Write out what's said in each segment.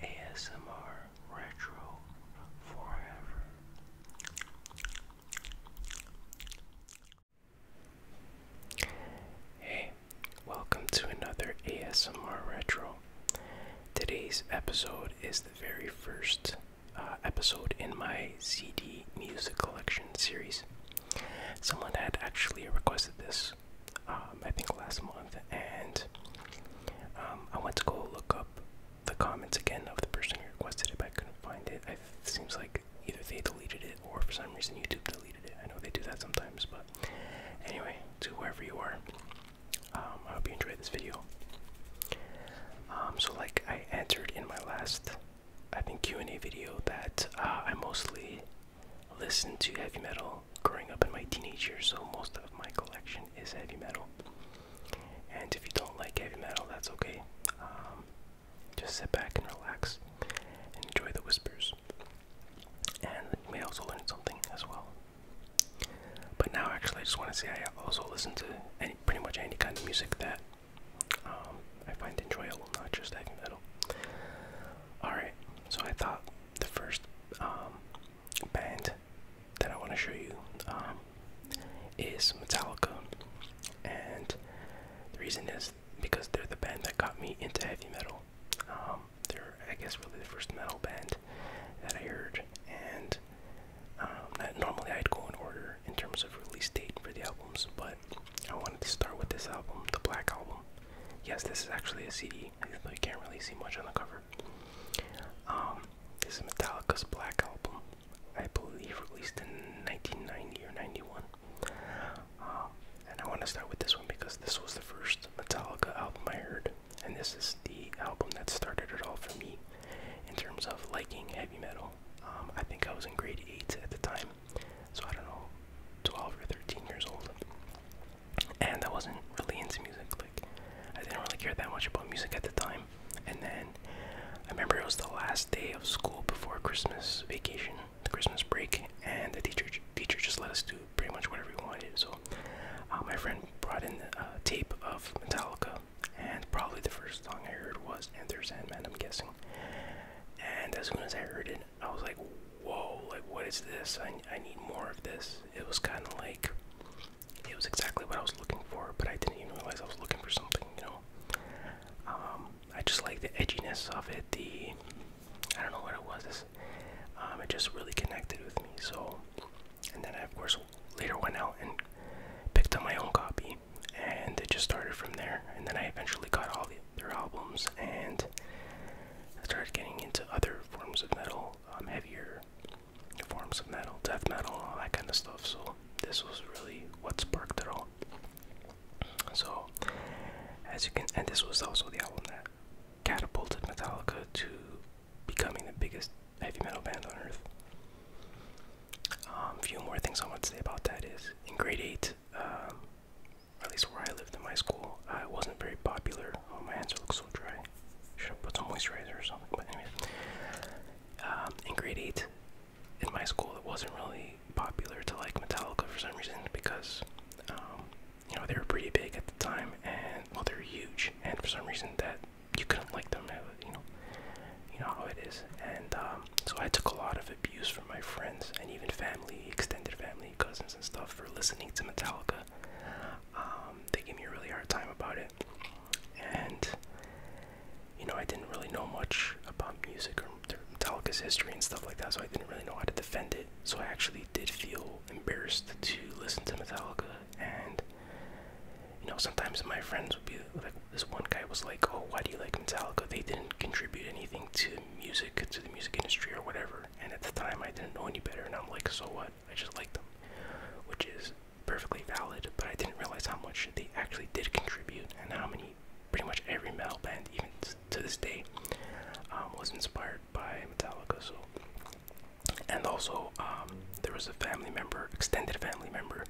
ASMR Retro Forever. Hey, welcome to another ASMR Retro. Today's episode is the very first uh, episode in my CD music collection series. Someone had actually requested this, um, I think last month, and um, I went to go look up the comments again of the person who requested it, but I couldn't find it. It seems like either they deleted it or for some reason YouTube deleted it. I know they do that sometimes, but anyway, to wherever you are, um, I hope you enjoyed this video. so like I answered in my last, I think Q&A video that uh, I mostly Listen to heavy metal growing up in my teenage years, so most of my collection is heavy metal. And if you don't like heavy metal, that's okay. Um, just sit back and relax and enjoy the whispers. And you may also learn something as well. But now, actually, I just want to say I also listen to any, pretty much any kind of music that um, I find enjoyable, not just heavy metal. Alright, so I thought the first um, band that I want to show you um, is Metallica. And the reason is because they're the band that got me into heavy metal. Um, they're, I guess, really the first metal band that I heard. And normally I'd go in order in terms of release date for the albums, but I wanted to start with this album, the Black Album. Yes, this is actually a CD. You can't really see much on the cover. Um, this is Metallica's Black Album. I believe released in 1990 or 91. Um, and I want to start with this one because this was the first Metallica album I heard, and this is the album that started it all for me in terms of liking heavy metal. Um, I think I was in grade 8 at the time, so I don't know, 12 or 13 years old. And I wasn't really into music. Like, I didn't really care that much about music at the time. And then I remember it was the last day of school before Christmas vacation, the Christmas break, and the teacher teacher just let us do pretty much whatever we wanted. So uh, my friend brought in a tape of Metallica, and probably the first song I heard was Enter Sandman, I'm guessing. And as soon as I heard it, I was like, whoa, like what is this? I, I need more of this. It was kind of like, it was exactly what I was looking for, but I didn't even realize I was looking for something, you know? Um, I just like the edginess of it, the, I don't know what it was, um, it just really connected with me, so, and then I, of course, later went out and picked up my own copy, and it just started from there, and then I eventually got all the their albums, and started getting into other forms of metal, um, heavier forms of metal, death metal, all that kind of stuff. So this was really what sparked it all. So, as you can, and this was also the album that catapulted Metallica to becoming the biggest heavy metal band on earth. A um, few more things I want to say about that is in grade eight, um, at least where I lived in my school, uh, it wasn't very popular. Oh, my hands look so dry. Should have put some moisturizer or something. But anyway, um, in grade eight, in my school, it wasn't really popular to like Metallica for some reason because, um, you know, they were pretty big at the time, and well, they were huge, and for some reason that you couldn't like them. you know, you know how it is, and um, so I took a lot of abuse from my friends and even family, extended family, cousins, and stuff for listening to Metallica. Um, they gave me a really hard time about it, and you know, I didn't really know much about music or Metallica's history and stuff like that, so I didn't really know how to defend it. So I actually did feel embarrassed to listen to Metallica, and you know, sometimes my friends would be like, this one guy was like, "Oh, why do you like Metallica? They didn't contribute anything to music to the music industry or whatever. And at the time, I didn't know any better, and I'm like, so what? I just like them, which is perfectly valid. But I didn't realize how much they actually did contribute, and how many, pretty much every metal band, even to this day, um, was inspired by Metallica. So, and also, um, there was a family member, extended family member,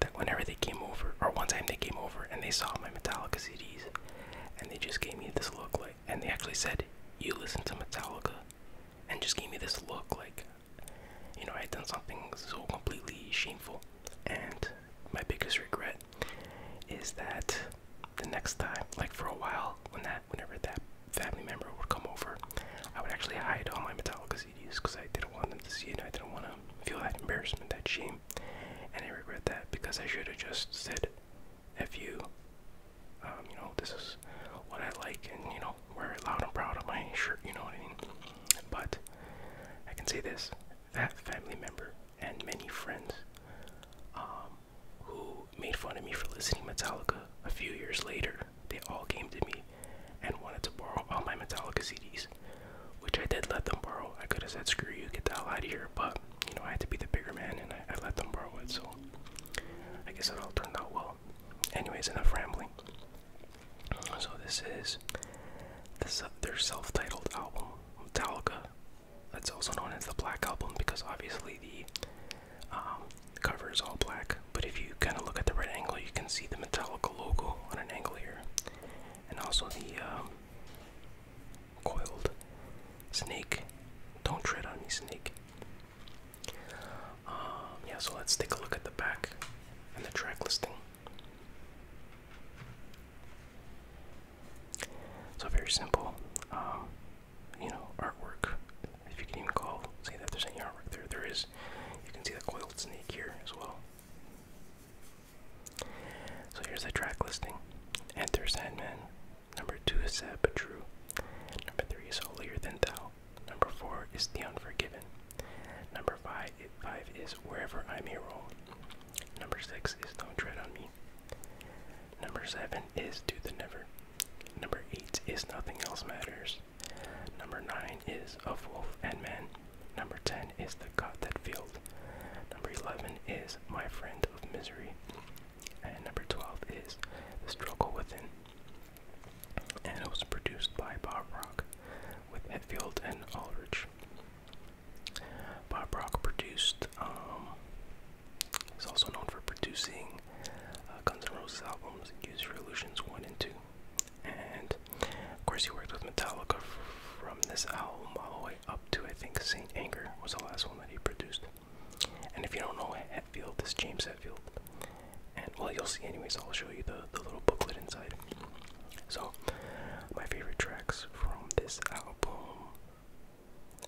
that whenever they came over, or one time they came over and they saw my Metallica CDs and they just gave me this look like and they actually said you listen to metallica and just gave me this look like you know i had done something so completely shameful and my biggest regret is that the next time like for a while when that whenever that family member would come over i would actually hide all my metallica cds because i didn't want them to see it i didn't want to feel that embarrassment that shame game. And I regret that because I should have just said, F you. Um, you know, this is what I like, and you know, wear it loud and proud on my shirt, you know what I mean? But I can say this that family member and many friends um, who made fun of me for listening Metallica a few years later, they all came to me and wanted to borrow all my Metallica CDs which I did let them borrow. I could have said, screw you, get the hell out of here, but, you know, I had to be the bigger man and I, let them borrow it, so I guess it all turned out well. Anyways, enough rambling. So this is this, their self-titled album, Metallica. That's also known as the Black Album because obviously the um, cover is all black. But if you kind of look at the right angle, you can see the Metallica logo on an angle here, and also the um, coiled. Snake, don't tread on me, snake. Um, yeah, so let's take a look at the back and the track listing. So very simple, um, you know, artwork. If you can even call, say that there's any artwork there. There is. You can see the coiled snake here as well. So here's the track listing. Enter Sandman. Number two is Set But True. Number three is Holier Than Thou. Number four is The Unforgiven. Number five, five is Wherever I May Roll. Number six is Don't Tread on Me. Number seven is Do the Never. Number eight is Nothing Else Matters. Number nine is Of Wolf and Man. Number ten is The God That Failed. Number 11 is My Friend of Misery. And number 12 is The Struggle Within. And it was produced by Bob Rock with Hetfield and Aldrich. Bob Rock produced, um, he's also known for producing uh, Guns N' Roses albums, Use Your Illusions 1 and 2. And of course, he worked with Metallica from this album all the way up to I think Saint Anger was the last one that he produced. And if you don't know Hetfield, this James Hetfield, and well you'll see anyways. I'll show you the the little booklet inside. So my favorite tracks from this album.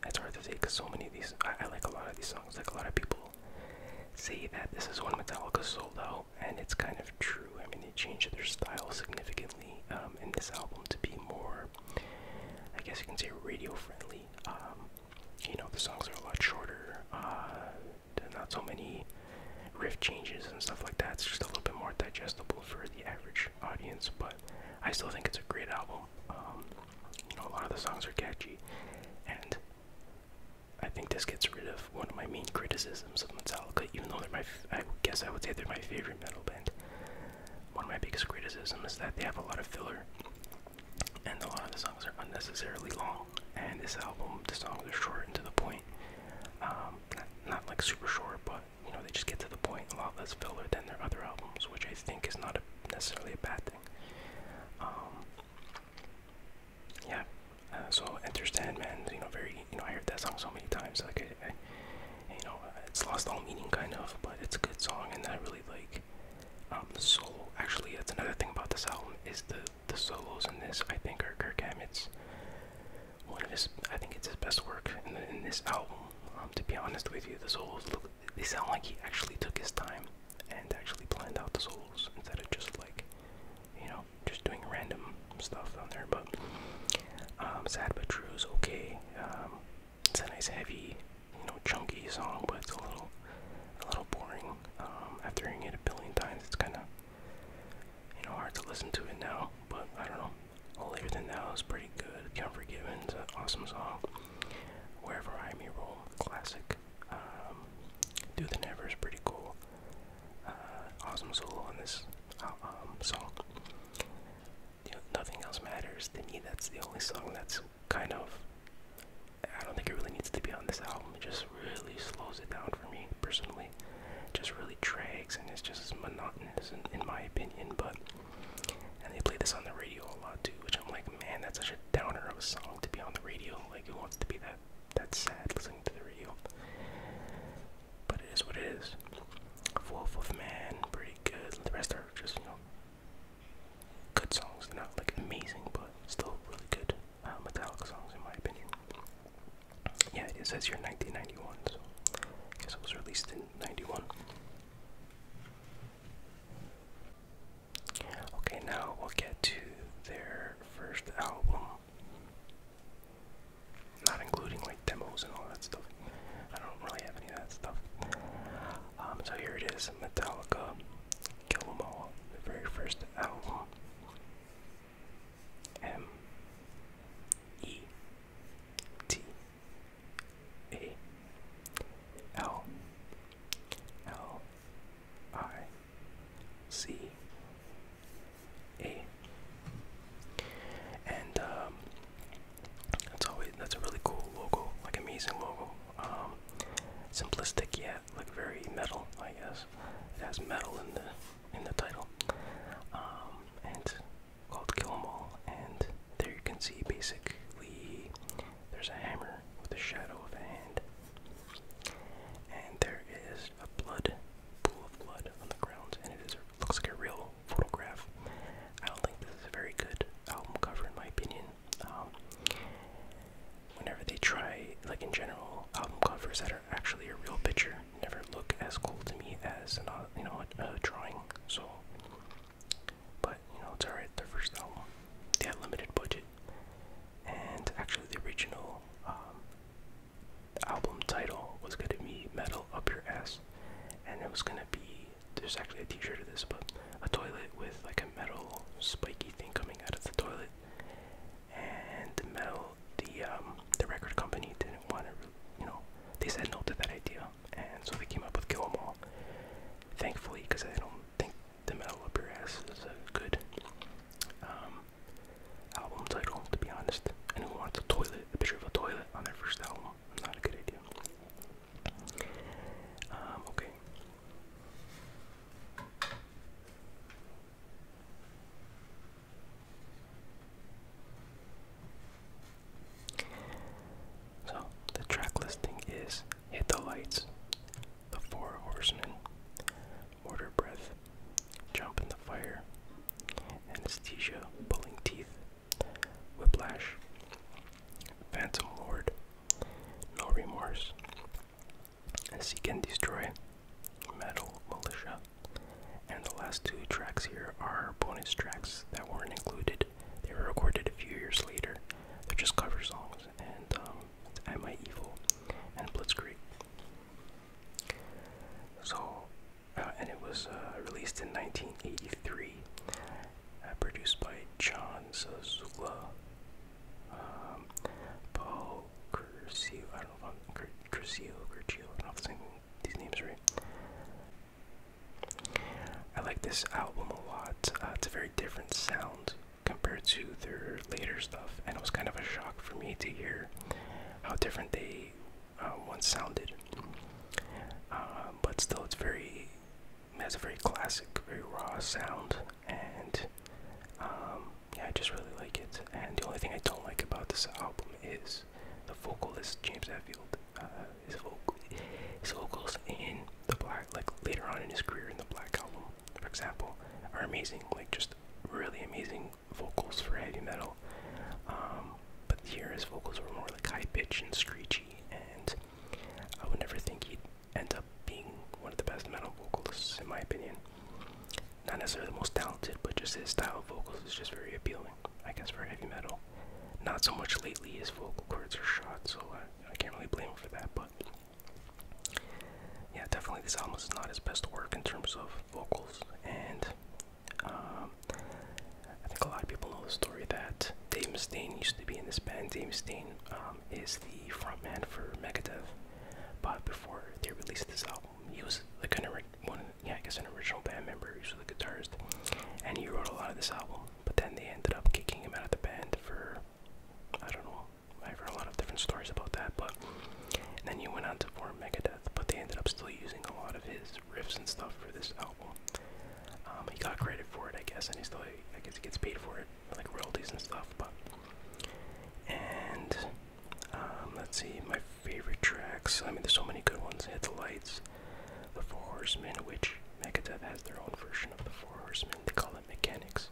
It's hard to say because so many of these. I, like a lot of these songs. Like a lot of people say that this is when Metallica sold out, and it's kind of true. I mean, they changed their style significantly um, in this album to be more I guess you can say, radio friendly. Um, you know, the songs are a lot shorter. Uh, not so many riff changes and stuff like that. It's just a little bit more digestible for the average audience, but I still think it's a great album. Um, you know, a lot of the songs are catchy, and I think this gets rid of one of my main criticisms of Metallica, even though they're my, f I guess I would say they're my favorite metal band one of my biggest criticisms is that they have a lot of filler, and a lot of the songs are unnecessarily long. And this album, the songs are short and to the point. Um, not, not like super short, but you know they just get to the point. A lot less filler than their other albums, which I think is not a, necessarily a bad thing. Um, yeah. Uh, so Enter Sandman, you know, very you know I heard that song so many times, like you know, it's lost all meaning kind of, but it's a good song, and I really like um, the solo. Actually, that's another thing about this album is the the solos in this. I think are Kirk Hammett's one of his. I think it's his best work in, this album. Um, to be honest with you, the solos They sound like he actually took his time and actually planned out the solos instead of just like, you know, just doing random stuff down there. But um, sad but true is okay. It's a nice heavy, you know, chunky song, but it's a little, a little boring. Um, after hearing it a billion times, it's kind of, you know, hard to listen to it now. But I don't know. All Later Than Now is pretty good. Comfort The it's an awesome song. Wherever I May Roll, classic. Um, Do the Never is pretty cool. Uh, awesome solo on this uh, um, song nothing else matters to me. That's the only song that's kind of. I don't think it really needs to be on this album. It just really slows it down for me personally. just really drags and it's just monotonous in, in my opinion. But and they play this on the radio a lot too, which I'm like, man, that's such a downer of a song to be on the radio. Like, who wants to be that that sad listening to the radio? But it is what it is. Wolf of Man, pretty good. The rest are just, you know, good songs. They're not like amazing, but still really good uh, Metallica songs, in my opinion. Yeah, it says here 1991, so guess it was released in 91. Okay, now we'll get to their first album. Not including like demos and all that stuff. I don't really have any of that stuff. Um, so here it is, Metallica, Kill 'Em All, the very first album. M E T A L L I C A and um, that's always that's a really cool logo, like amazing logo. Um, simplistic yet like very metal, I guess. It has metal in the in the title. Um, and called Kill 'Em All, and there you can see basically there's a hammer with a shadow of a hand, and there is a blood pool of blood on the ground, and it is looks like a real photograph. I don't think this is a very good album cover in my opinion. Um, whenever they try, like in general, album covers that are actually a real picture never look as cool to me as an, uh, you know a, drawing. So, but you know it's alright. Their first album, they had limited budget, and actually the original. Um, album title was going to be Metal Up Your Ass, and it was going to be there's actually a t-shirt of this, but a toilet with like a metal spiky thing coming out of the toilet, and the metal, the um, the record company didn't want to, you know, they said no to that idea, and so they came up with Kill 'Em All. Thankfully, because I don't think the metal up your ass is a good um, album title, to be honest. And who wants a toilet, a picture of a toilet on their first album? Not a good idea. Um, okay. So, the track listing is Hit the Lights, The Four Horsemen, Mortar Breath, Jump in the Fire, Anesthesia, Pulling Teeth, Whiplash, Phantom Lord, No Remorse, Seek and Destroy, Metal Militia, and the last two tracks here are bonus tracks that weren't included. They were recorded a few years later. They're just cover songs, and um, Am I Evil and Blitzkrieg. So uh, and it was uh, released in 1983, uh, produced by John Zazula, um, Paul Curcio, I don't know if I'm Cur Curcio, I don't saying these names right. I like this album a lot. it's a very different sound compared to their later stuff, and it was kind of a shock for me to hear how different they uh, once sounded. Uh, but still, it's very it has a very classic, very raw sound, and um, yeah, I just really like it. And the only thing I don't like about this album is the vocalist James Hetfield. Uh, vocal, his vocals in the Black, like later on in his career in the Black album, for example, are amazing. Like just really amazing vocals for heavy metal um, but here his vocals were more like high pitched and screechy, and I would never think he'd end up being one of the best metal vocalists in my opinion. Not necessarily the most talented, but just his style of vocals is just very appealing, I guess, for heavy metal. Not so much lately, his vocal cords are shot, so I, I can't really blame him for that, but. Yeah, definitely this album is not his best work in terms of vocals, and um, I think a lot of people know the story that Dave Mustaine used to be in this band. Dave Mustaine um, is the frontman for Megadeth, but before they released this album, he was like an one, yeah, I guess an original band member. He was the guitarist, and he wrote a lot of this album. But then they ended up kicking him out of the band for I don't know. I've heard a lot of different stories about that, but then he went on to form Megadeth, but they ended up still using a lot of his riffs and stuff for this album. Um, he got credit for it, I guess, and he still, I guess, he gets paid for it, like royalties and stuff. But and um, let's see, my favorite tracks. I mean, there's so many good ones. Hit the lights, the Four Horsemen, which Megadeth has their own version of the Four Horsemen. They call it Mechanics.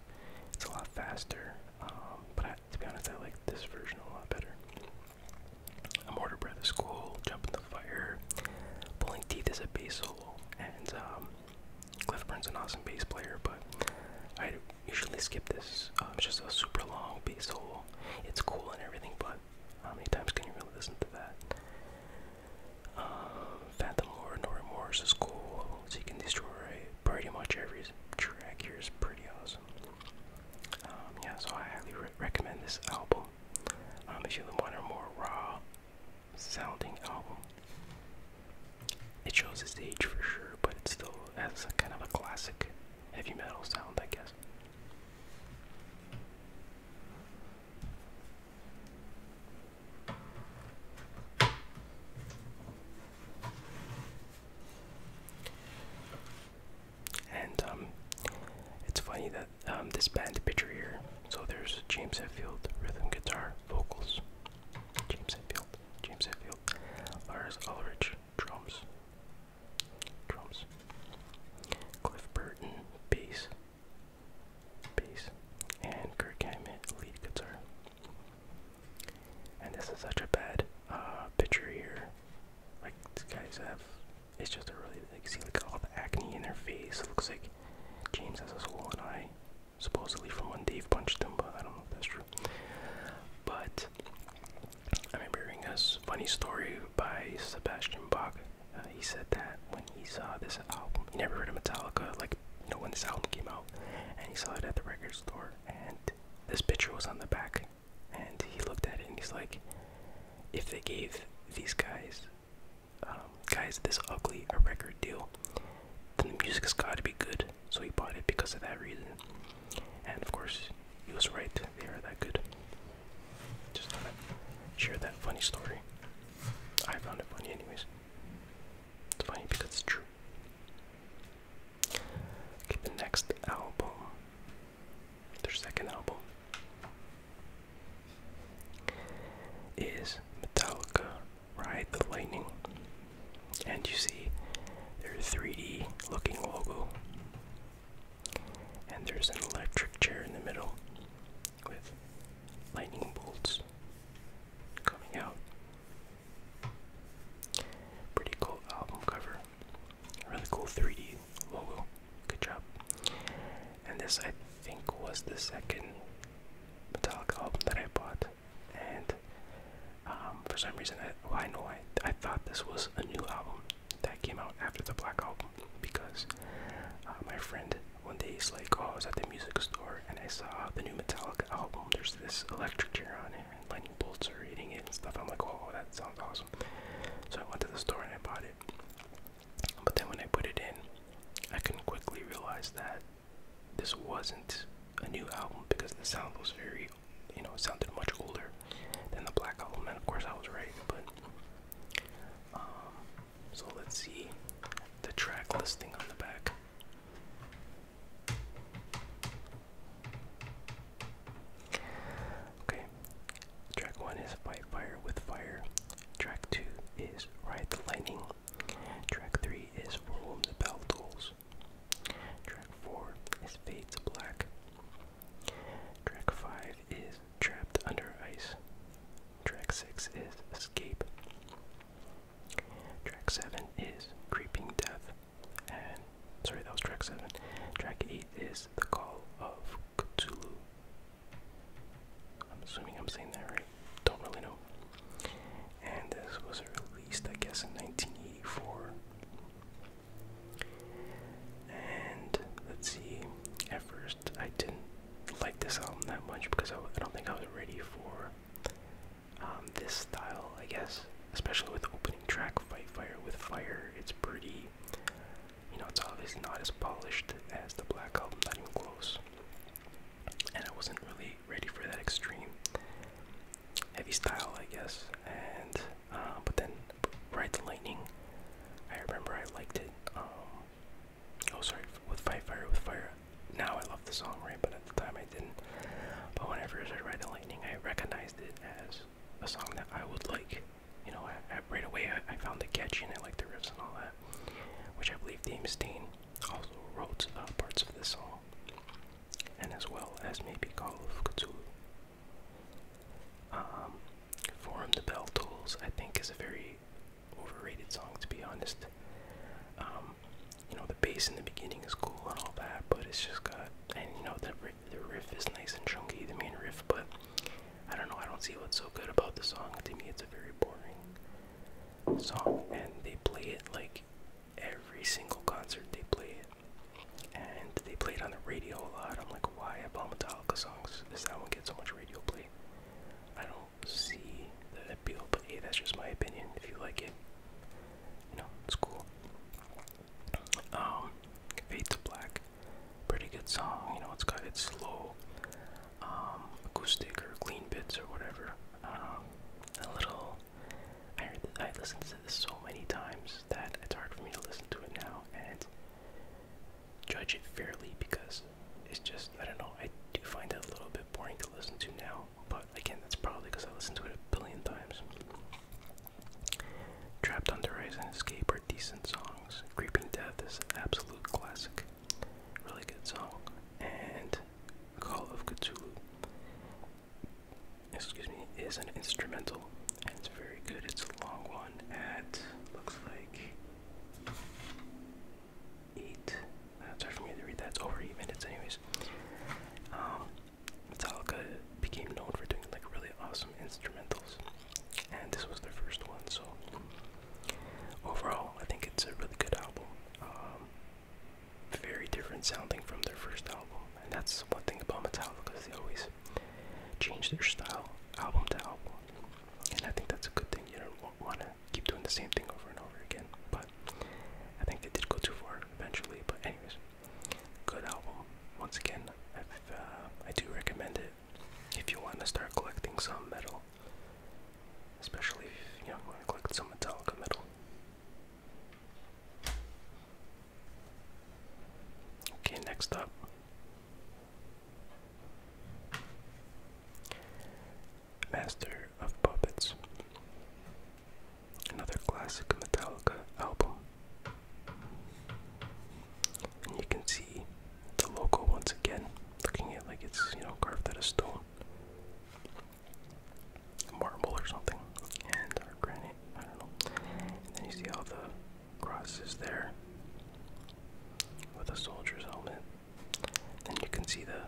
It's a lot faster, um, but to be honest, I like this version a lot better. A mortar bread is cool. Jump in the fire. Pulling teeth is a bass solo, and um, Cliff Burns an awesome bass player, but I usually skip this. Um, it's just a super long bass solo. It's cool and everything, but how many times can you really listen to that? Um, Phantom Lord, No Remorse is cool. So you can destroy pretty much every track here is pretty awesome. Um, yeah, so I highly recommend this album. Um, if you want a more raw sounding album, it shows its age for sure, but it still has kind of a classic heavy metal sound, I guess. And um, it's funny that um, this band picture here. So there's James Hetfield, rhythm guitar, vocals. James Hetfield, James Hetfield, Lars Ulrich, drums, drums. Cliff Burton, bass, bass, and Kirk Hammett, lead guitar. And this is such a bad uh, picture here. Like these guys have it's just a really like see like all the acne in their face. looks like James has a swollen eye, supposedly from when Dave punched him, but I don't know if that's true. But I remember hearing a funny story by Sebastian Bach. Uh, he said that when he saw this album, he never heard of Metallica, like you know when this album came out, and he saw it at the record store, and this picture was on the back, and he looked at it and he's like, if they gave these guys um, guys, this ugly a record deal, then the music's got to be good. So he bought it because of that reason. And of course, he was right. They are that good. Just thought share that funny story. I found it funny, anyways. It's funny because it's true. Okay, the next album, their second album, is Metallica Ride the Lightning. And you see their 3D looking logo. And there's an electric chair in the middle with lightning bolts coming out. Pretty cool album cover. Really cool 3D Oh, Whoa, good job. And this, I think, was the second Metallica album that I bought. And um, for some reason, I, know I, I thought this was a new album that came out after the Black Album because uh, my friend one day he's like, Oh, I was at the music store and I saw the new Metallica album. There's this electric chair on it and lightning bolts are eating it and stuff. I'm like, Oh, that sounds awesome. So I went to the store and I bought it. But then when I put it in, I can quickly realize that this wasn't a new album because the sound was very, you know, it sounded much older than the Black Album. And of course, I was right, but. Um, so let's see the track listing on the back. Okay, track one is fight fire with fire. Track two is ride the lightning. Track three is for whom the bell Track four is fade to black. Track five is trapped under ice. Track six is escape. Track seven is creeping death. And sorry, that was track seven. Track eight is the call of Cthulhu. I'm assuming I'm saying that right. Don't really know. And this was released, I guess, in 1984. And let's see. At first, I didn't like this album that much because I, don't think I was ready for um, this style, I guess. Especially with opening track Fight Fire with Fire. It's pretty you know, it's obviously not as polished as the Black Album, not even close. And I wasn't really ready for that extreme heavy style, I guess. And uh, but then Ride Lightning, I remember I liked it. Um, oh, sorry, with Fight Fire with Fire. Now I love the song, right? But at the time I didn't. But whenever I read Ride the Lightning, I recognized it as a song that I would like you know, right away I, found the catch in it, like the riffs and all that, which I believe Deemstein also wrote uh, parts of this song, and as well as maybe Call of Cthulhu. Um, the Bell Tolls, I think, is a very overrated song, to be honest. Um, you know, the bass in the beginning is cool and all that, but it's just got, and you know, the, the riff is nice and chunky, the main riff, but I don't know, I don't see what's so good about the song. To me, it's a very boring song, and they play it like every single concert they play it. And they play it on the radio a lot. I'm like, why of all Metallica songs does that one get so much radio play? I don't see that appeal, but hey, that's just my opinion. If you like it, you it's cool. Um, Fade to Black pretty good song. You know, it's got its slow um, acoustic or clean bits or whatever. Um, a little. I, heard I listened to this so many times that it's hard for me to listen to it now and judge it fairly because it's just I don't know. I do find it a little bit boring to listen to now, but again, that's probably because I listened to it a billion times. Trapped on the Rise and Escape decent songs. Creeping Death is an absolute classic, really good song, and Call of Cthulhu, excuse me, is an instrumental, and it's very good. It's a long one at looks like eight. That's hard for me to read. That's over eight minutes, anyways. Um, Metallica became known for doing like really awesome instrumentals and this was their first one. So overall, I think it's a really good album. Um, very different sounding from their first album, and that's one thing about Metallica they always change their style album to album, and I think that's a good thing. You don't want to keep doing the same thing over and over again, but I think they did go too far eventually. But anyways, good album once again. Uh, I do recommend it it if you want to start collecting some metal. Especially if you know, want to collect some Metallica metal. Okay, next up. Master of Puppets. Another classic Metallica album. And you can see the logo once again, looking at like it's you know carved out of stone, marble or something, and granite. I don't know. then you see all the crosses there with a soldier's helmet. And you can see the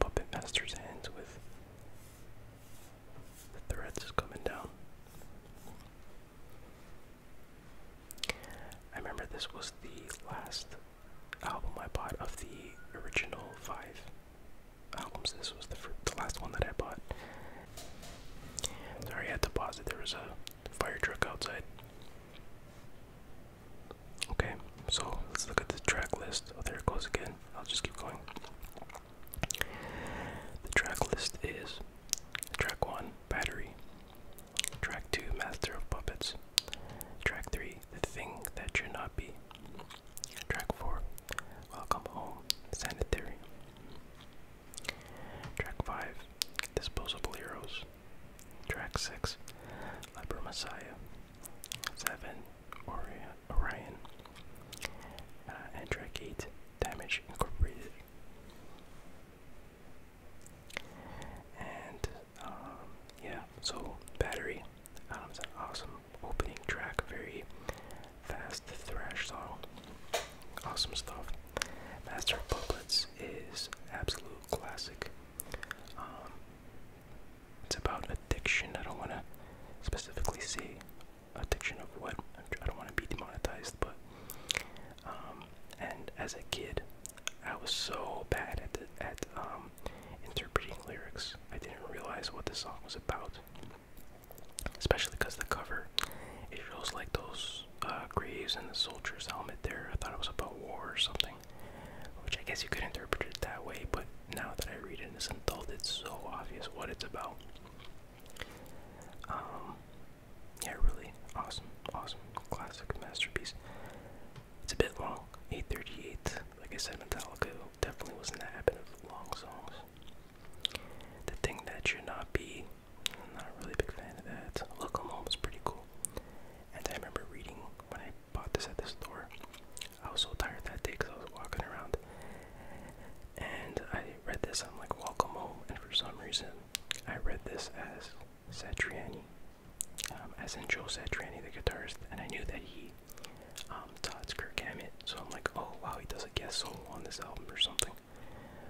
puppet master's hands with the threads coming down. I remember this was the last album I bought of the original five albums. This was the, the last one that I bought. Sorry, I had to pause it. There was a fire truck outside. Okay, so let's look at the track list. Oh, there it goes again. I'll just keep going. The track list is track 1, Battery, Track 2, Master of Puppets. Track 3, The Thing That You're Not Be. Track 4, Welcome Home, Sanitarium. Track 5, Disposable Heroes. Track 6, Liber Messiah. 7, Orion. Uh, and track 8, Damage Incorporated. And um, yeah, so Battery um, an awesome opening track, very fast thrash song. Awesome stuff. Master of Puppets is absolute classic. Um, it's about addiction. I don't want to specifically say addiction of what. I don't want to be demonetized, but um, and as a kid, I was so bad at at um, interpreting lyrics. I didn't realize what the song was about, especially because the cover it shows like those uh, graves and the soldier's helmet there. I thought it was about war or something, which I guess you could interpret it that way. But now that I read it as an adult, it's so obvious what it's about. Um, yeah, really awesome, awesome classic masterpiece. It's a bit long, 838. Like I said, Metallica definitely was not the habit of long songs. The thing that should not be, I'm not really big fan of that. Look home is pretty cool. And I remember reading when I bought this at the store. I was so tired that day because I was walking around. And I read this, I'm like, Welcome Home. And for some reason, I read this as Satriani, um, as in Joe Satriani, the guitarist, and I knew that he um, taught Kirk Hammett, so I'm like, oh wow, he does a guest solo on this album or something.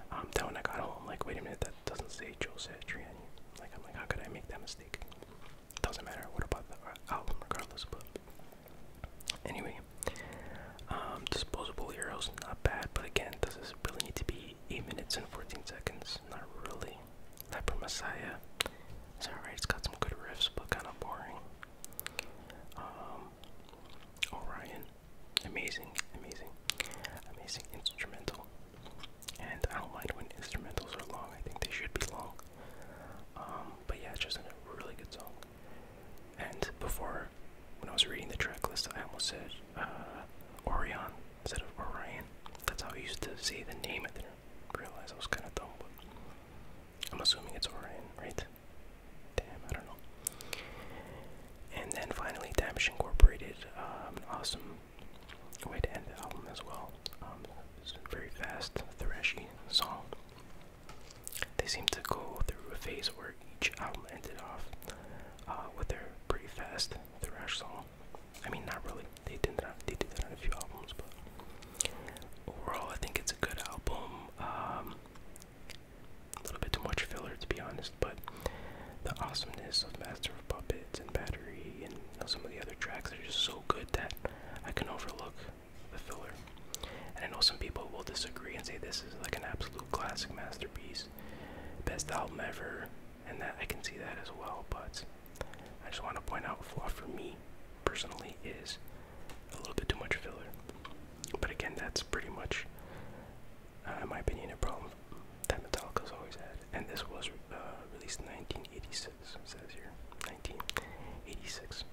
That um, then when I got home, i like, wait a minute, that doesn't say Joe Satriani. Like, I'm like, how could I make that mistake? Doesn't matter, what about the uh, album, regardless, but anyway. Um, disposable heroes, not bad, but again, does this really need to be 8 minutes and 14 seconds? riffs, not really. Hyper Messiah is alright, it's got some good riffs, but kind of boring. Um, Orion, amazing, amazing, amazing instrumental. And I don't mind when instrumentals are long, I think they should be long. Um, but yeah, it's just a really good song. And before, when I was reading the track list, I almost said uh, Orion instead of Orion. That's how I used to say the name. I didn't I was kind of dumb, but I'm assuming it's Orion, right? Damn, I don't know. And then finally, Damage Incorporated, um, an awesome way to end the album as well. Um, very fast, thrashing song. They seem to go through a phase where each album ended off uh, with their pretty fast thrash song. I mean, not really. They did that. They did that on a few albums, but overall, I think it's a good album. Um, a little bit too much filler, to be honest, but the awesomeness of Master of Puppets and Battery and some of the other tracks are just so good that I can overlook the filler. And I know some people will disagree and say this is like an absolute classic masterpiece, best album ever, and that I can see that as well. But I just want to point out flaw for me personally is a little bit too much filler. But again, that's pretty much, uh, in my opinion, a problem that Metallica's always had. And this was uh, released in 1986. It says here 1986.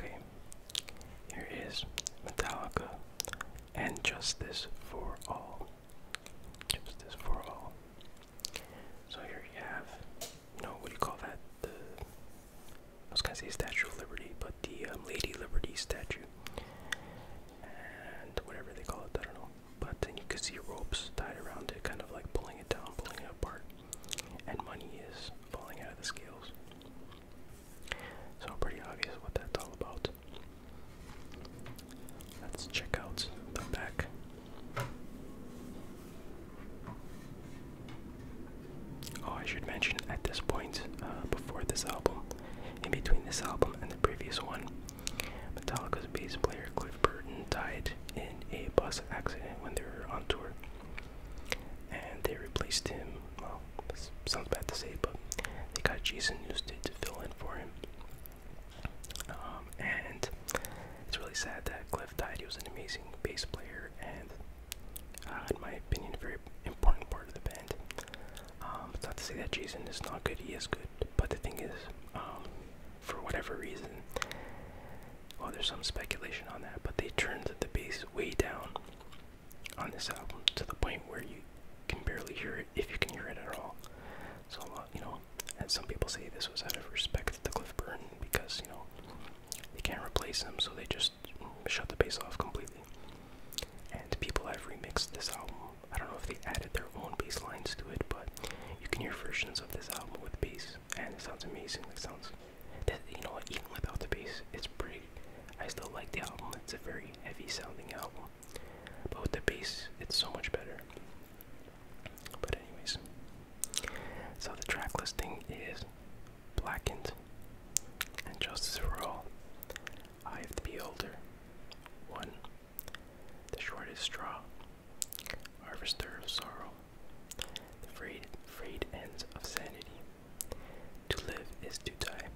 Okay, here is Metallica and Justice for All. Justice for All. So here you have, no, what do you call that? The I was gonna say Statue of Liberty, but the um, Lady Liberty statue and whatever they call it, I don't know. But then you can see ropes tied around it, kind of like pulling it down, pulling it apart, and money is falling out of the scales. So pretty obvious what that's all about. Let's check out the back. Oh, I should mention at this point, uh, before this album, in between this album and the previous one, Metallica's bass player Cliff Burton died in a bus accident when they were on tour, and they replaced him. Well, sounds bad to say, but they got Jason Newsted to fill in for him. Um, and it's really sad that Cliff died. He was an amazing bass player and, uh, in my opinion, a very important part of the band. Um, it's not to say that Jason is not good, he is good. But the thing is, um, for whatever reason, well, there's some speculation on that, but they turned the bass way down on this album to the point where you can barely hear it if you can hear it at all. So, uh, you know, and some people say this was out of respect to Cliff Burton because, you know, they can't replace him, so they just shut the bass off completely. And people have remixed this album. I don't know if they added their own bass lines to it, but you can hear versions of this album with bass, and it sounds amazing. It sounds, you know what, even without the bass, it's pretty. I still like the album. It's a very heavy sounding album, but with the bass, it's so much better. But anyways, so the track listing is Blackened and Justice for All. I have to be older. 1. The shortest straw. Harvester of sorrow. The frayed, frayed ends of sanity. To live is to die.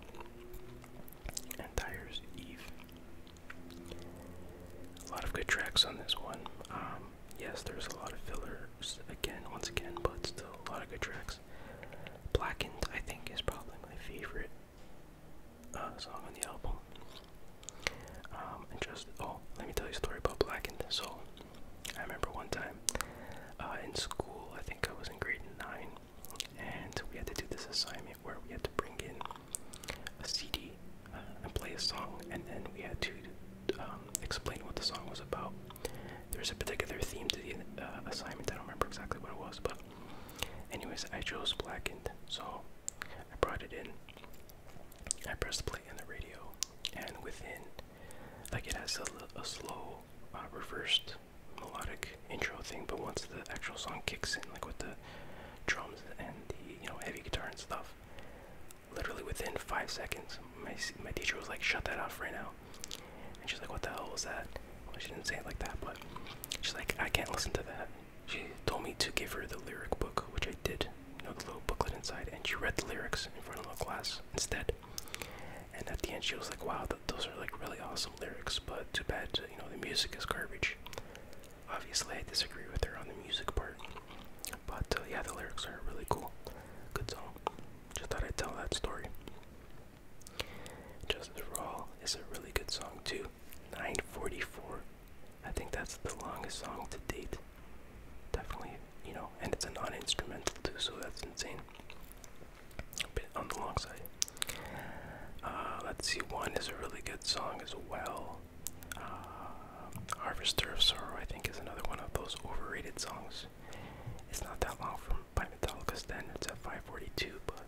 And Tire's Eve. A lot of good tracks on this one. Um, yes, there's a lot of fillers again, once again, but still a lot of good tracks. Blackened, I think, is probably my favorite uh, song on the album. Um, just oh, let me tell you a story about black and soul. I remember one time uh, in school, I think I was in grade nine, and we had to do this assignment where we had to bring in a CD uh, and play a song, and then we had to um, explain what the song was about. There was a particular theme to the uh, assignment. I don't remember exactly what it was, but Anyways, I chose blackened, so I brought it in. I pressed play on the radio, and within, like it has a, a slow uh, reversed melodic intro thing, but once the actual song kicks in, like with the drums and the you know heavy guitar and stuff, literally within five seconds, my my teacher was like, "Shut that off right now." And she's like, what the hell was that? she didn't say it like that, but she's like, I can't listen to that. She told me to give her the lyric book, which I did, you know, the little booklet inside, and she read the lyrics in front of the class instead. And at the end, she was like, wow, those are like really awesome lyrics, but too bad, you know, the music is garbage. Obviously, I disagree with her on the music part, but uh, yeah, the lyrics are really cool. Good song. Just thought I'd tell that story. Justice for is a really good song too. 944. I think that's the longest song to date. Definitely, you know, and it's a non instrumental too, so that's insane. A bit on the long side. Uh, let's see, one is a really good song as well. Uh, Harvester of Sorrow, I think, is another one of those overrated songs. It's not that long from by Metallica standards at 542, but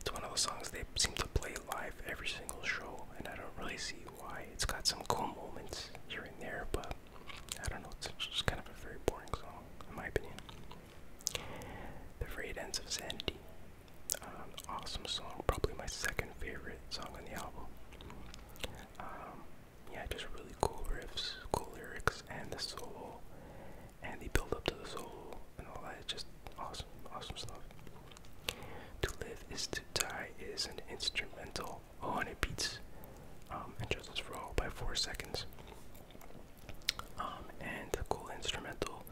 it's one of those songs they seem to play live every single show, and I don't really see why. It's got some cool moments here and there, but I don't know, it's just kind of a very boring song, in my opinion. The fade Ends of Sanity. Um, awesome song, probably my second favorite song on the album. Um, yeah, just really cool riffs, cool lyrics, and the solo and the build up to the soul and all that. Just awesome, awesome stuff. To live is to die is an instrumental. Oh, and it beats um, and Justice for All by four seconds. Um, and the cool instrumental,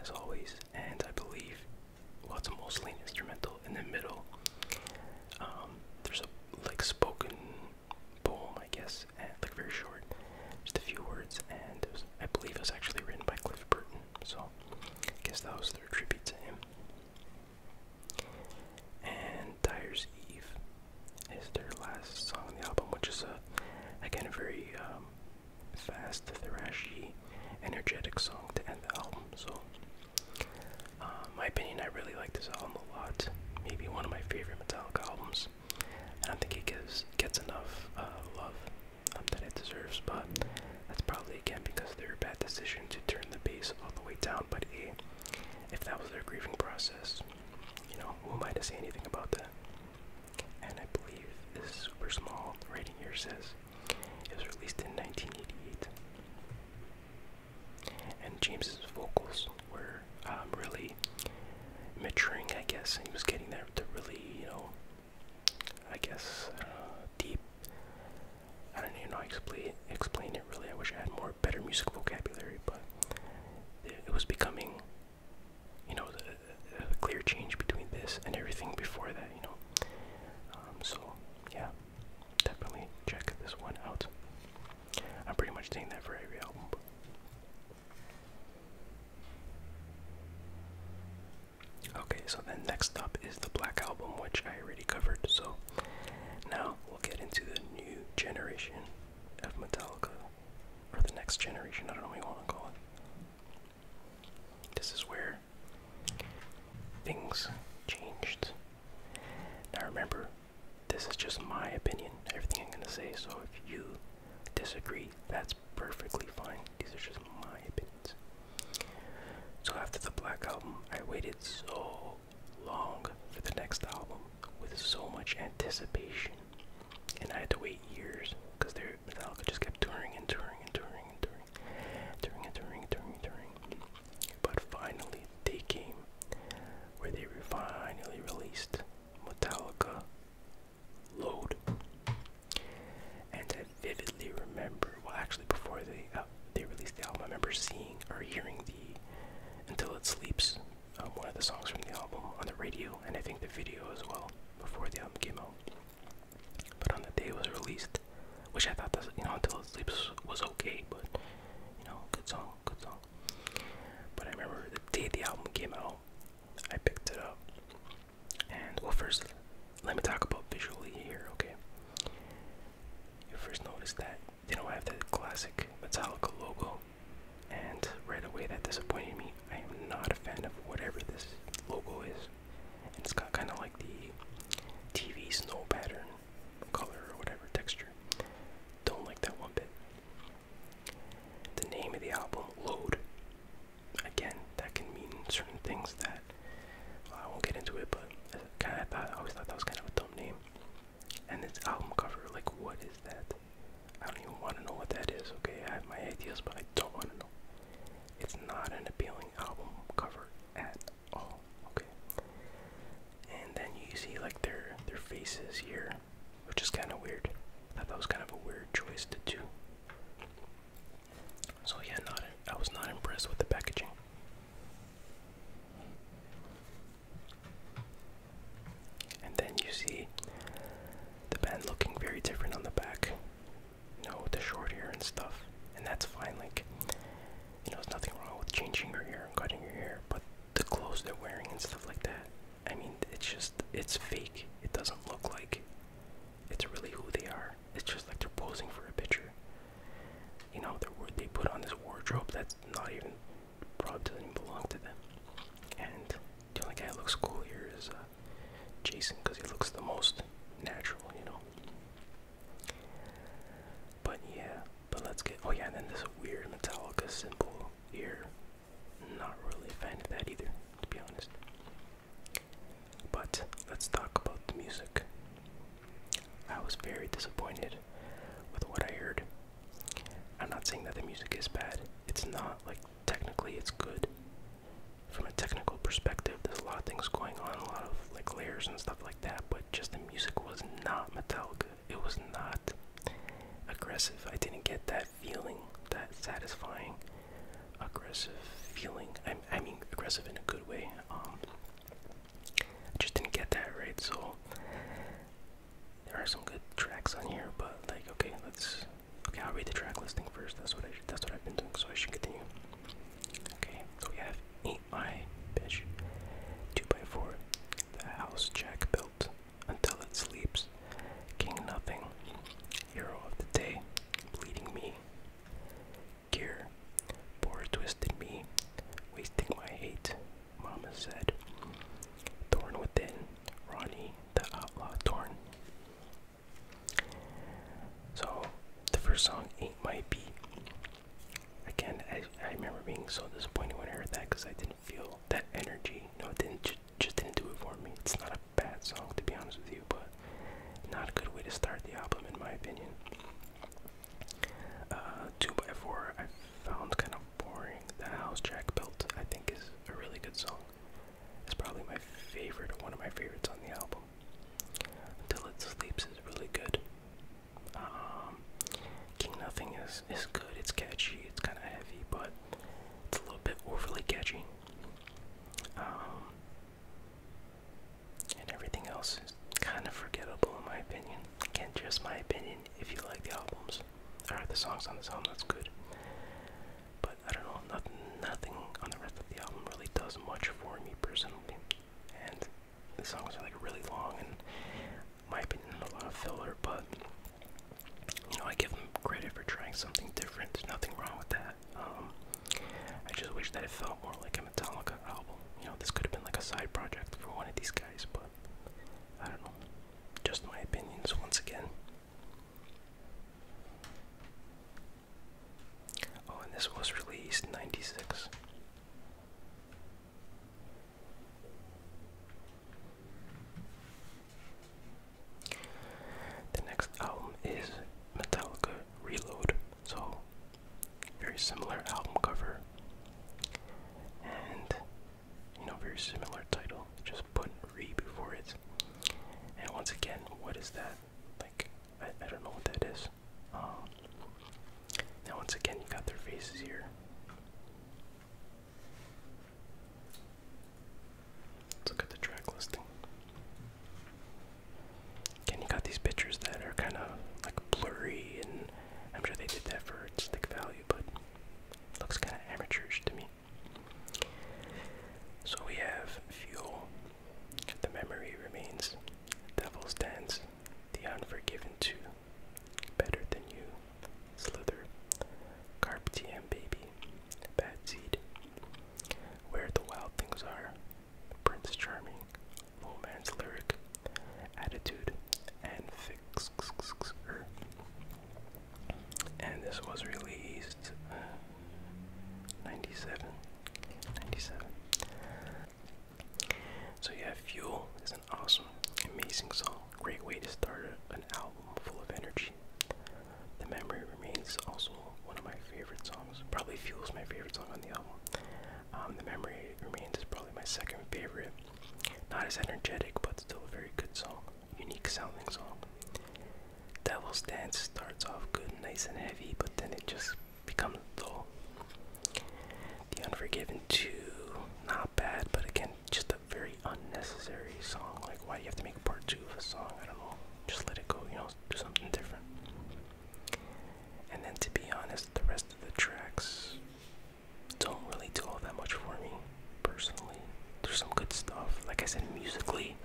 as always. And I believe, well, it's mostly an instrumental in the middle. Um, there's a like spoken poem, I guess, and, like very short, just a few words, and I believe it was actually written by Cliff Burton, so I guess that was their tribute to him. And Dyer's Eve is their last song on the album, which is a, again, a very um, fast, thrashy, energetic song to end the album, so. Uh, my opinion, I really like this album a lot. Maybe one of my favorite Metallica albums. I don't think he gives gets enough uh, love um, that it deserves, but that's probably again because of their bad decision to turn the bass all the way down. But if that was their grieving process, you know, who am I to say anything about that? And I believe this super small writing here says it was released in 1988. And James's vocals were um, really maturing, I guess, he was getting there to really, you know, I guess, uh, deep. I don't even know how to explain, it really. I wish I had more better music vocabulary, but it, was becoming, you know, a, clear change between this and everything before that, you know. Um, so, yeah, definitely check this one out. I'm pretty much saying that for every album. Okay, so then next up is the Black Album, which I already covered. So now we'll get into the new generation of Metallica, or the next generation, I don't know what you want to call it. This is where things changed. Now remember, this is just my opinion, everything I'm going to say, so if you disagree, that's perfectly fine. These are just my opinions. So after the Black Album, I waited so long for the next album with so much anticipation. And I had to wait years because Metallica just kept touring and touring and touring and touring. Touring and touring and touring and touring. But finally, they came where they finally released Metallica load. And I vividly remember, well, actually, before they uh, they released the album, I remember seeing or hearing the "Until It Sleeps," um, one of the songs from the album, on the radio, and I think the video as well before the album came out. But on the day it was released, which I thought that you know "Until It Sleeps" was okay, but you know, good song, good song. But I remember the day the album came out, I picked it up. And well, first, let me talk about visually here, okay? You first notice that they don't have the classic Metallica logo, and right away that disappointed me. I am not a fan of whatever this logo is. It's got kind of like the TV snow pattern color or whatever texture. Don't like that one bit. The name of the album, Load. Again, that can mean certain things that I won't get into it, but I kind of thought I always thought that was kind of a dumb name. And this album cover, like, what is that? I don't even want to know what that is. Okay, I have my ideas, but I don't want to know. It's not an appealing album cover at all. Okay. And then you see like their their faces here which is kind of weird. I thought that was kind of a weird choice to do. So yeah, not I was not impressed with the packaging. And then you see the band looking very different on the back. No, with the short hair and stuff. And that's fine, like you know, there's nothing wrong with changing your hair and cutting your hair, but the clothes they're wearing and stuff like that. I mean, it's just, it's fake. It doesn't look like it's really who they are. It's just like they're posing for a picture. You know, they put on this wardrobe that's not even, probably doesn't even belong to them. And the only guy that looks cool here is uh, Jason because he looks the most natural, you know. But yeah, but let's get, oh yeah, and then this weird Metallica symbol here not really a fan of that either, to be honest. But let's talk about the music. I was very disappointed with what I heard. I'm not saying that the music is bad, it's not. Like, technically, it's good. From a technical perspective, there's a lot of things going on, a lot of like layers and stuff like that, but just the music was not Metallica. It was not aggressive. I didn't get that feeling, that satisfying, aggressive feeling. I, I mean, aggressive in a good way. Um, just didn't get that right, so there are some good tracks on here, but like, okay, let's. Okay, I'll read the track listing first. That's what I. That's what I've been doing, so I should continue. Okay, so we have Ain't My Bitch, 2 by 4 The House Jack Built, until it sleeps. King nothing, hero of the day, bleeding me. Gear, poor twisted me, wasting my hate, Mama said. torn within, Ronnie, the outlaw torn. So, the first song ain't my beat. Again, I, I remember being so disappointed when I heard that because I didn't feel that energy. No, it didn't just didn't do it for me. It's not a bad song to be honest with you, but not a good way to start the album in my opinion. 2x4 uh, I found kind of boring. The house Jack built I think is a really good song. It's probably my favorite one of my favorites on the album. Until It Sleeps is really good. Um, King Nothing is, is good, it's catchy, it's kind of heavy, but it's a little bit overly catchy. Um, and everything else is kind of forgettable in my opinion. Again, just my opinion if you like the albums. Or the songs on the album, that's good. But I don't know, nothing, on the rest of the album really does much for me personally. And the songs are like really long and my opinion a lot of filler, but you know, I give them credit for trying something different. There's nothing wrong with that. Um, I just wish that it felt more like a Metallica album. You know, this could have been like a side project for one of these guys, but I don't know. Just my opinions once again. Oh, and this was released in 96. The next album is Metallica Reload, so very similar album cover and you know, very similar title. Just put re before it. And once again, what is that? Like, I, I don't know what that is. Um, now, once again, you got their faces here look at the track listing. Again, you got these pictures that are kind of like blurry, and I'm sure they did that for stick value, but looks kind of amateurish to me. So we have Fuel, The Memory Remains, Devil's Dance, The Unforgiven 2, Better Than You, Slither, Carp TM Baby, Bad Seed, Where the Wild Things Are, Prince Charming, Romance Lyric, Attitude, and Fix. Er. And this was released uh, 97. 97. So yeah, Fuel is an awesome, amazing song. Great way to start an album full of energy. The memory remains also one of my favorite songs. Probably fuels my favorite song on the album. Um, the memory remains is probably my second favorite. Not as energetic, but still a very good song. Unique sounding song. Devil's Dance starts off good, nice and heavy, but then it just becomes dull. The Unforgiven too, not bad, but again, just a very unnecessary song. Like, why do you have to make a part two of a song? I don't know. Just let it go, you know, do something different. And then, to be honest, the rest of the tracks don't really do all that much for me, personally. There's some good stuff. Like I said, musically,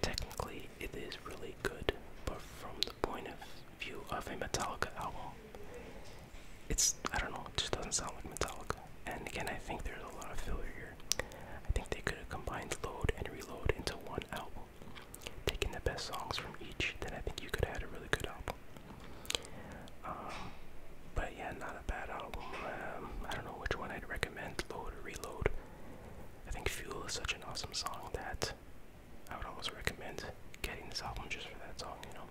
technically, it is really good, but from the point of view of a Metallica album, it's, I don't know, it just doesn't sound like Metallica. And again, I think there's a lot of filler here. I think they could have combined Load and Reload into one album, taking the best songs from each. Then I think you could have had a really good album. Um, but yeah, not a bad album. Um, I don't know which one I'd recommend, Load or Reload. I think Fuel is such an awesome song that I would almost recommend getting this album just for that song, you know.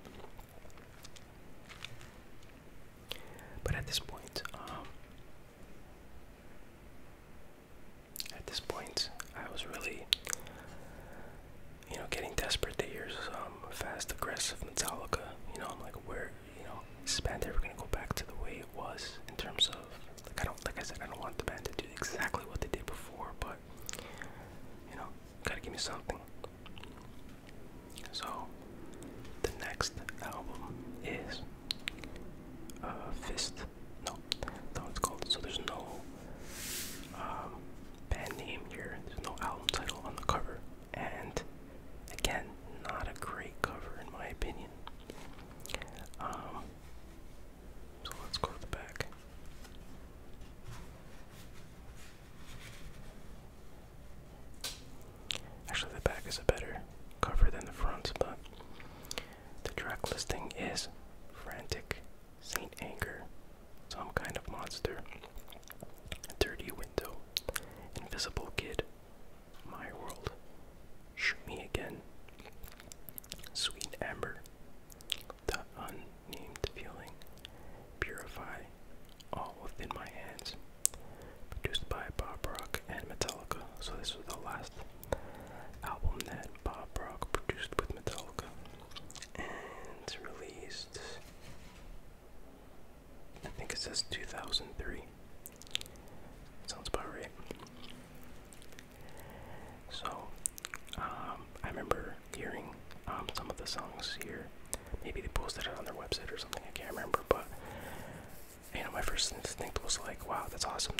But at this point, um, at this point, I was really, you know, getting desperate. They hear some fast, aggressive Metallica. You know, I'm like, where, you know, is this band ever gonna go back to the way it was in terms of, like, I don't, like I said, I don't want the band to do exactly what they did before, but, you know, gotta give me something. So the next album is uh, Fist. No, that's what it's called. So there's no um, band name here. There's no album title on the cover, and again, not a great cover in my opinion. Um, so let's go to the back. Actually, the back is a better cover than the front, but the track listing is Frantic Saint Anger, Some Kind of Monster, Dirty Window, Invisible Kid, My World, Shoot Me Again, Sweet Amber, The Unnamed Feeling, Purify, All Within My Hands produced by Bob Rock and Metallica. So this was the last album that Bob Rock produced with Metallica, and released. I think it says 2003. Sounds about right. So, um, I remember hearing um, some of the songs here Maybe they posted it on their website or something. I can't remember, but you know, my first instinct was like, "Wow, that's awesome!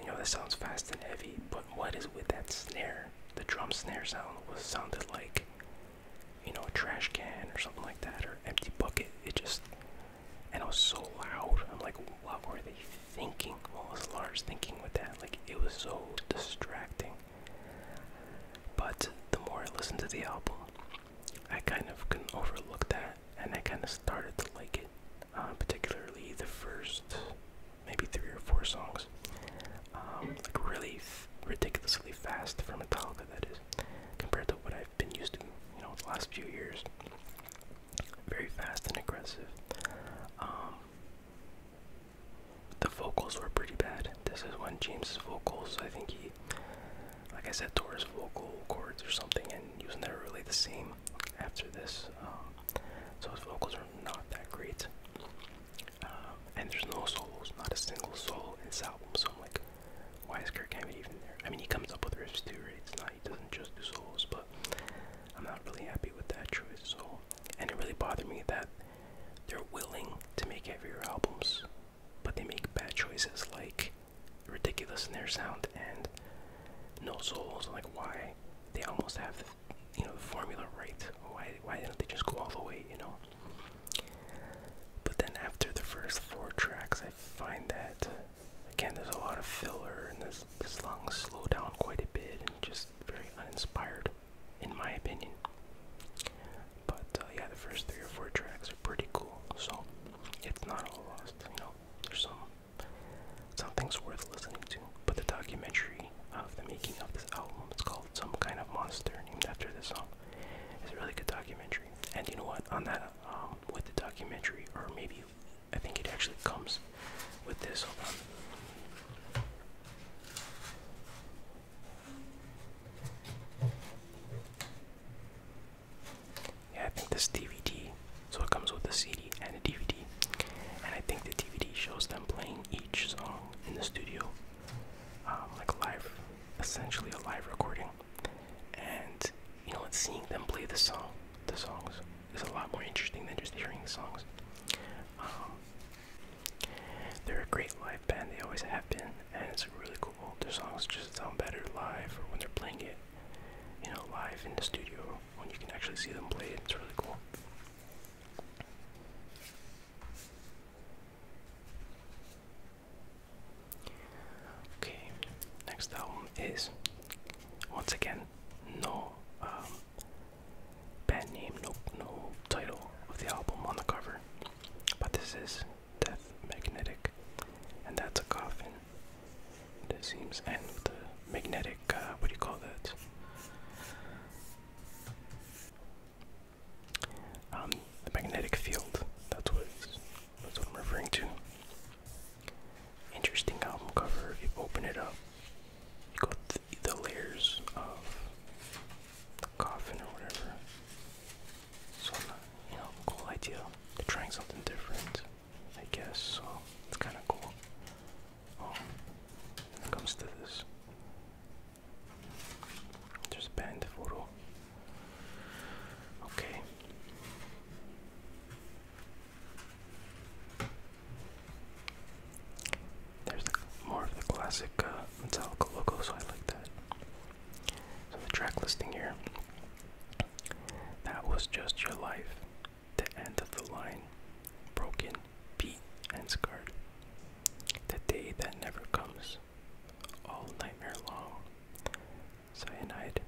you know, this sounds fast and heavy." But what is with that snare? The drum snare sound was sounded like, you know, a trash can or something like that, or empty bucket. It just, and it was so loud. I'm like, "What were they thinking? What was Lars thinking with that?" Like, it was so distracting. But the more I listened to the album, I kind of couldn't overlook that, and I kind of started to like it, uh, particularly the first maybe three or four songs. Um, like really ridiculously fast for Metallica, that is, compared to what I've been used to, you know, the last few years. Very fast and aggressive. Um, the vocals were pretty bad. This is when James' vocals, I think he like I said, towards vocal cords or something, and he was never really the same after this. Um, so his vocals are not that great. Um, and there's no solos, not a single solo in this So I'm like, why is Kirk even there? I mean, he comes up with riffs too, It's not, he doesn't just do solos, but I'm not really happy with that choice. So, and it really bothered me that they're willing to make heavier albums but they make bad choices like ridiculous in their sound and no souls like why they almost have you know the formula right why why didn't they just go all the way you know but then after the first four tracks i find that again there's a lot of filler and this this long slow down quite a bit and just very uninspired in my opinion but uh, yeah, the first three or four tracks are pretty cool, so it's not all lost. You know, there's some something's worth listening to. But the documentary of the making of this album, it's called "Some Kind of Monster," named after this song. It's a really good documentary. And you know what? On that, um, with the documentary, or maybe I think it actually comes with this. Hold on. Yeah, I think this DVD. So it comes with a CD and a DVD, and I think the DVD shows them playing each song in the studio, um, like live, essentially a live recording. And you know, it's seeing them play the song, the songs is a lot more interesting than just hearing the songs. Um, they're a great live band; they always have been, and it's really cool. Their songs just sound better live or when they're playing it, you know, live in the studio when you can actually see them play it. It's really cool. Okay, next album is once again no um, band name, no no title of the album on the cover, but this is Death Magnetic, and that's a coffin. This seems and the magnetic. Uh, what do you call that? Um, the magnetic field. That's what. That's what I'm referring to. Interesting album cover. If you open it up, you got the, the layers of the coffin or whatever. So, you know, cool idea. trying something different, I guess, so it's kind of cool. Um, when it comes to this, just ban the photo. Okay. There's more of the classic uh, Metallica logo, so I like that. So the track listing here. That was just your life. The end of the line. Broken, beat, and scarred. The day that never comes. All nightmare long. Cyanide.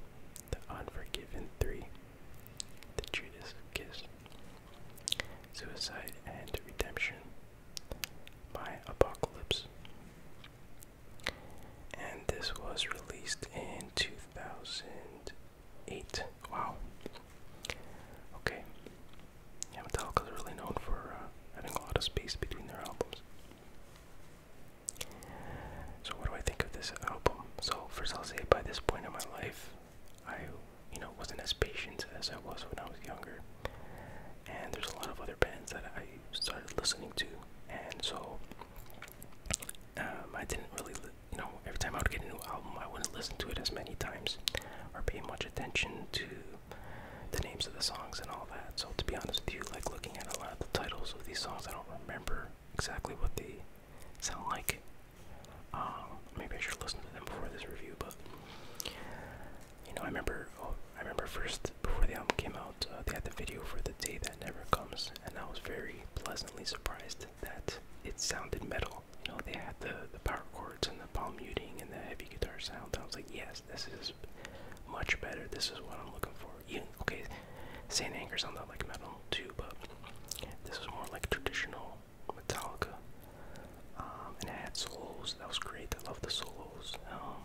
The Unforgiven 3. The Judas Kiss. Suicide and Redemption. My Apocalypse and this was released in 2008. Wow. Okay. Yeah, Metallica is really known for having uh, a lot of space between their albums. So, what do I think of this album? So, first, I'll say by this point in my life, I, you know, wasn't as patient as I was when I was younger. And there's a lot of other bands that I started listening to, and so um, I didn't really, you know, every time I would get a new album, I wouldn't listen to it as many times or pay much attention to the names of the songs and all that. So to be honest with you, like looking at a lot of the titles of these songs, I don't remember exactly what they sound like. Um, maybe I should listen to them before this review, but you know, I remember. Oh, I remember first before the album came out, uh, they had the video for The Day That Never Comes, and I was very pleasantly surprised that it sounded metal. You know, they had the, the power chords and the palm muting and the heavy guitar sound. I was like, yes, this is much better. This is what I'm looking for. Even, okay, Saint Anger's on that like metal too, but this was more like traditional Metallica. Um, and it had solos. That was great. I love the solos. Um,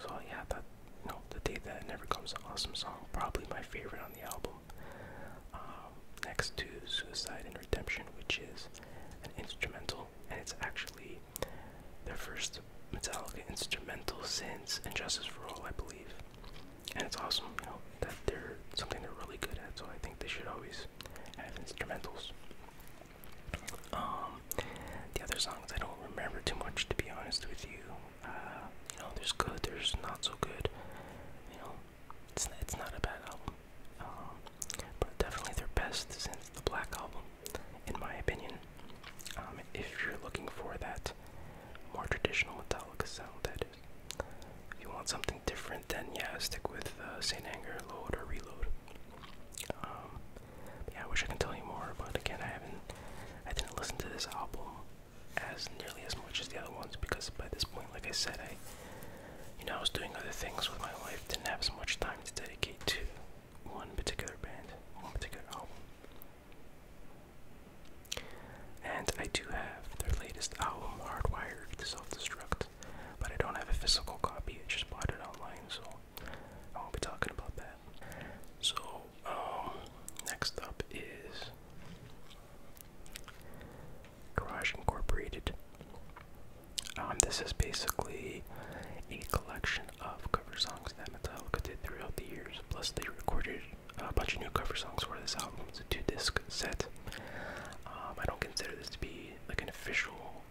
so yeah, that no, the day that never comes, an awesome song, probably my favorite on the album. Um, next to Suicide and Redemption, which is an instrumental, and it's actually their first Metallica instrumental since Injustice for All, I believe. And it's awesome, you know, that they're something they're really good at. So I think they should always have instrumentals. Um, the other songs I don't remember too much, to be honest with you. Uh, you know, there's good, there's not so good. You know, it's it's not a bad album, um, but definitely their best since the Black Album, in my opinion. Um, if you're looking for that more traditional Metallica sound, that is. If you want something different, then yeah, stick with uh, Saint Anger, Load, or Reload. Um, yeah, I wish I could tell you more, but again, I haven't, I didn't listen to this album as nearly as much as the other ones because by this point, like I said, I, you know, I was doing other things with my life, didn't have as much time to dedicate to one particular band, one particular album. And I do have their latest album, Hardwired to Self-Destruct, but I don't have a physical copy, I just bought it online, so I won't be talking about that. So um, next up is Garage Incorporated. Um, this is basically a collection of cover songs that Metallica did throughout the years. Plus, they recorded a bunch of new cover songs for this album. It's a two-disc set. Um, I don't consider this to be like an official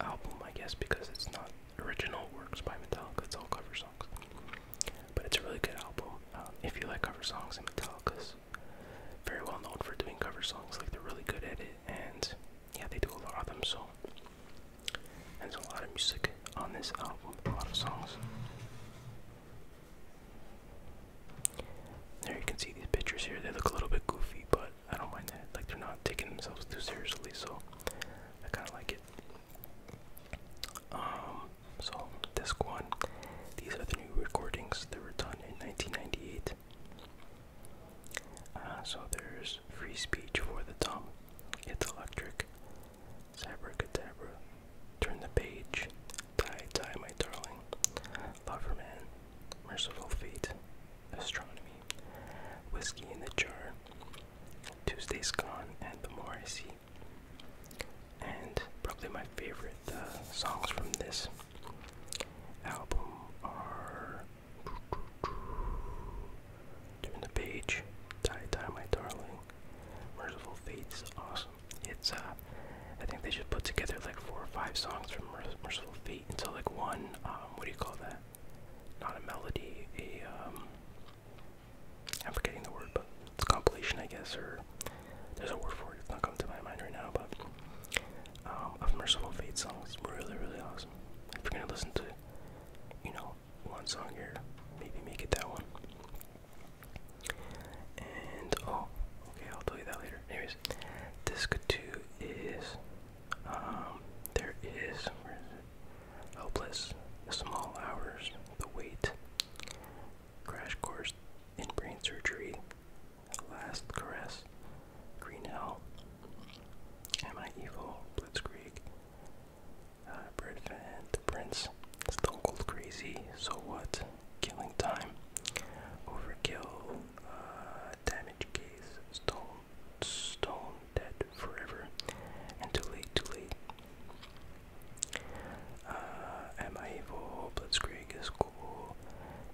album, I guess, because it's not original works by Metallica. It's all cover songs, but it's a really good album. Um, if you like cover songs, and Metallica's very well known for doing cover songs. Like they're really good at it, and yeah, they do a lot of them. So, and there's a lot of music on this album, a lot of songs. There you can see these pictures here. They look a little bit goofy, but I don't mind that. Like they're not taking themselves too seriously, so I kind of like it. Um, so disc one. These are the new recordings that were done in 1998. Uh, so there's Free Speech for the Dumb, It's Electric, Sabracadabra, Turn the Page, Die, Die, My Darling, Loverman, Merciful Fate, Astronomy, Whiskey in the Jar, Tuesday's Gone and The More I See. And probably my favorite uh, songs from this album are Turn the Page, Die, Die, My Darling, Merciful Fate. It's awesome. It's uh I think they should put together like four or five songs from Merciful Fate until like one um what do you call that? not a melody, a am um, forgetting the word, but it's compilation I guess, or there's a word for it, it's not coming to my mind right now, but um Merciful Fate songs. Really, really awesome. If you're gonna listen to, you know, one song here, maybe make it that one. And oh, okay, I'll tell you that later. Anyways, disc two is um, there is Hopeless, the small hours, the wait, crash course in brain surgery, last caress, green hell, am I evil, blitzkrieg, uh, Bread Fan, the prince, stone cold crazy, so what, killing time, overkill, uh, damage case, stone, stone dead forever. And too late, too late. Uh, am I evil? Blitzkrieg is cool.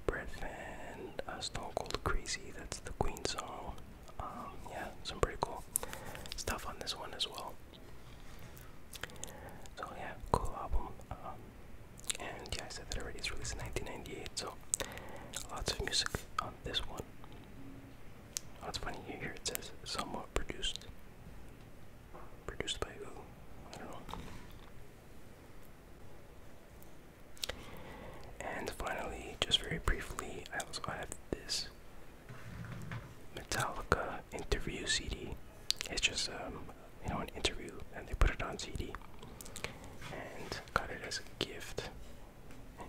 Bread fan, uh, Stone Cold Crazy, that's the Queen song. Um, yeah, some pretty cool stuff on this one as well. So yeah, cool album. Um, and yeah, I said that already, it's released in 1998, so lots of music on this one. Oh, it's funny here it says somewhat produced. Produced by who? I don't know. And finally, just very briefly, I also have this Metallica interview CD. It's just um, you know an interview, and they put it on CD, and got it as a gift and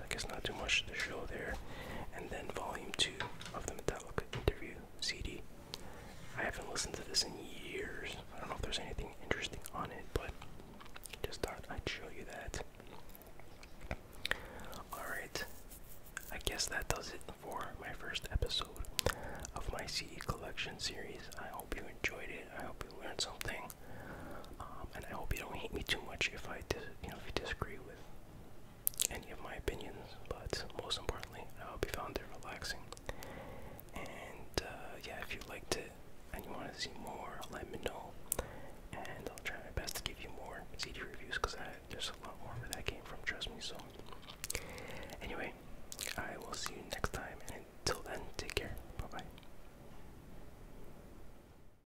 I guess not too much to show there. And then volume two of the Metallica interview CD. I haven't listened to this in years. I don't know if there's anything interesting on it, but just thought I'd show you that. Alright, I guess that does it for my first episode of my CD collection series. I hope you enjoyed it. I hope you learned something, um, and I hope you don't hate me too much if I, dis you know, if you disagree any of my opinions, but most importantly, I hope you found it relaxing. And uh, yeah, if you liked it and you want to see more, let me know. And I'll try my best to give you more CD reviews because there's a lot more where that came from, trust me. So, anyway, I will see you next time. And until then, take care. Bye bye.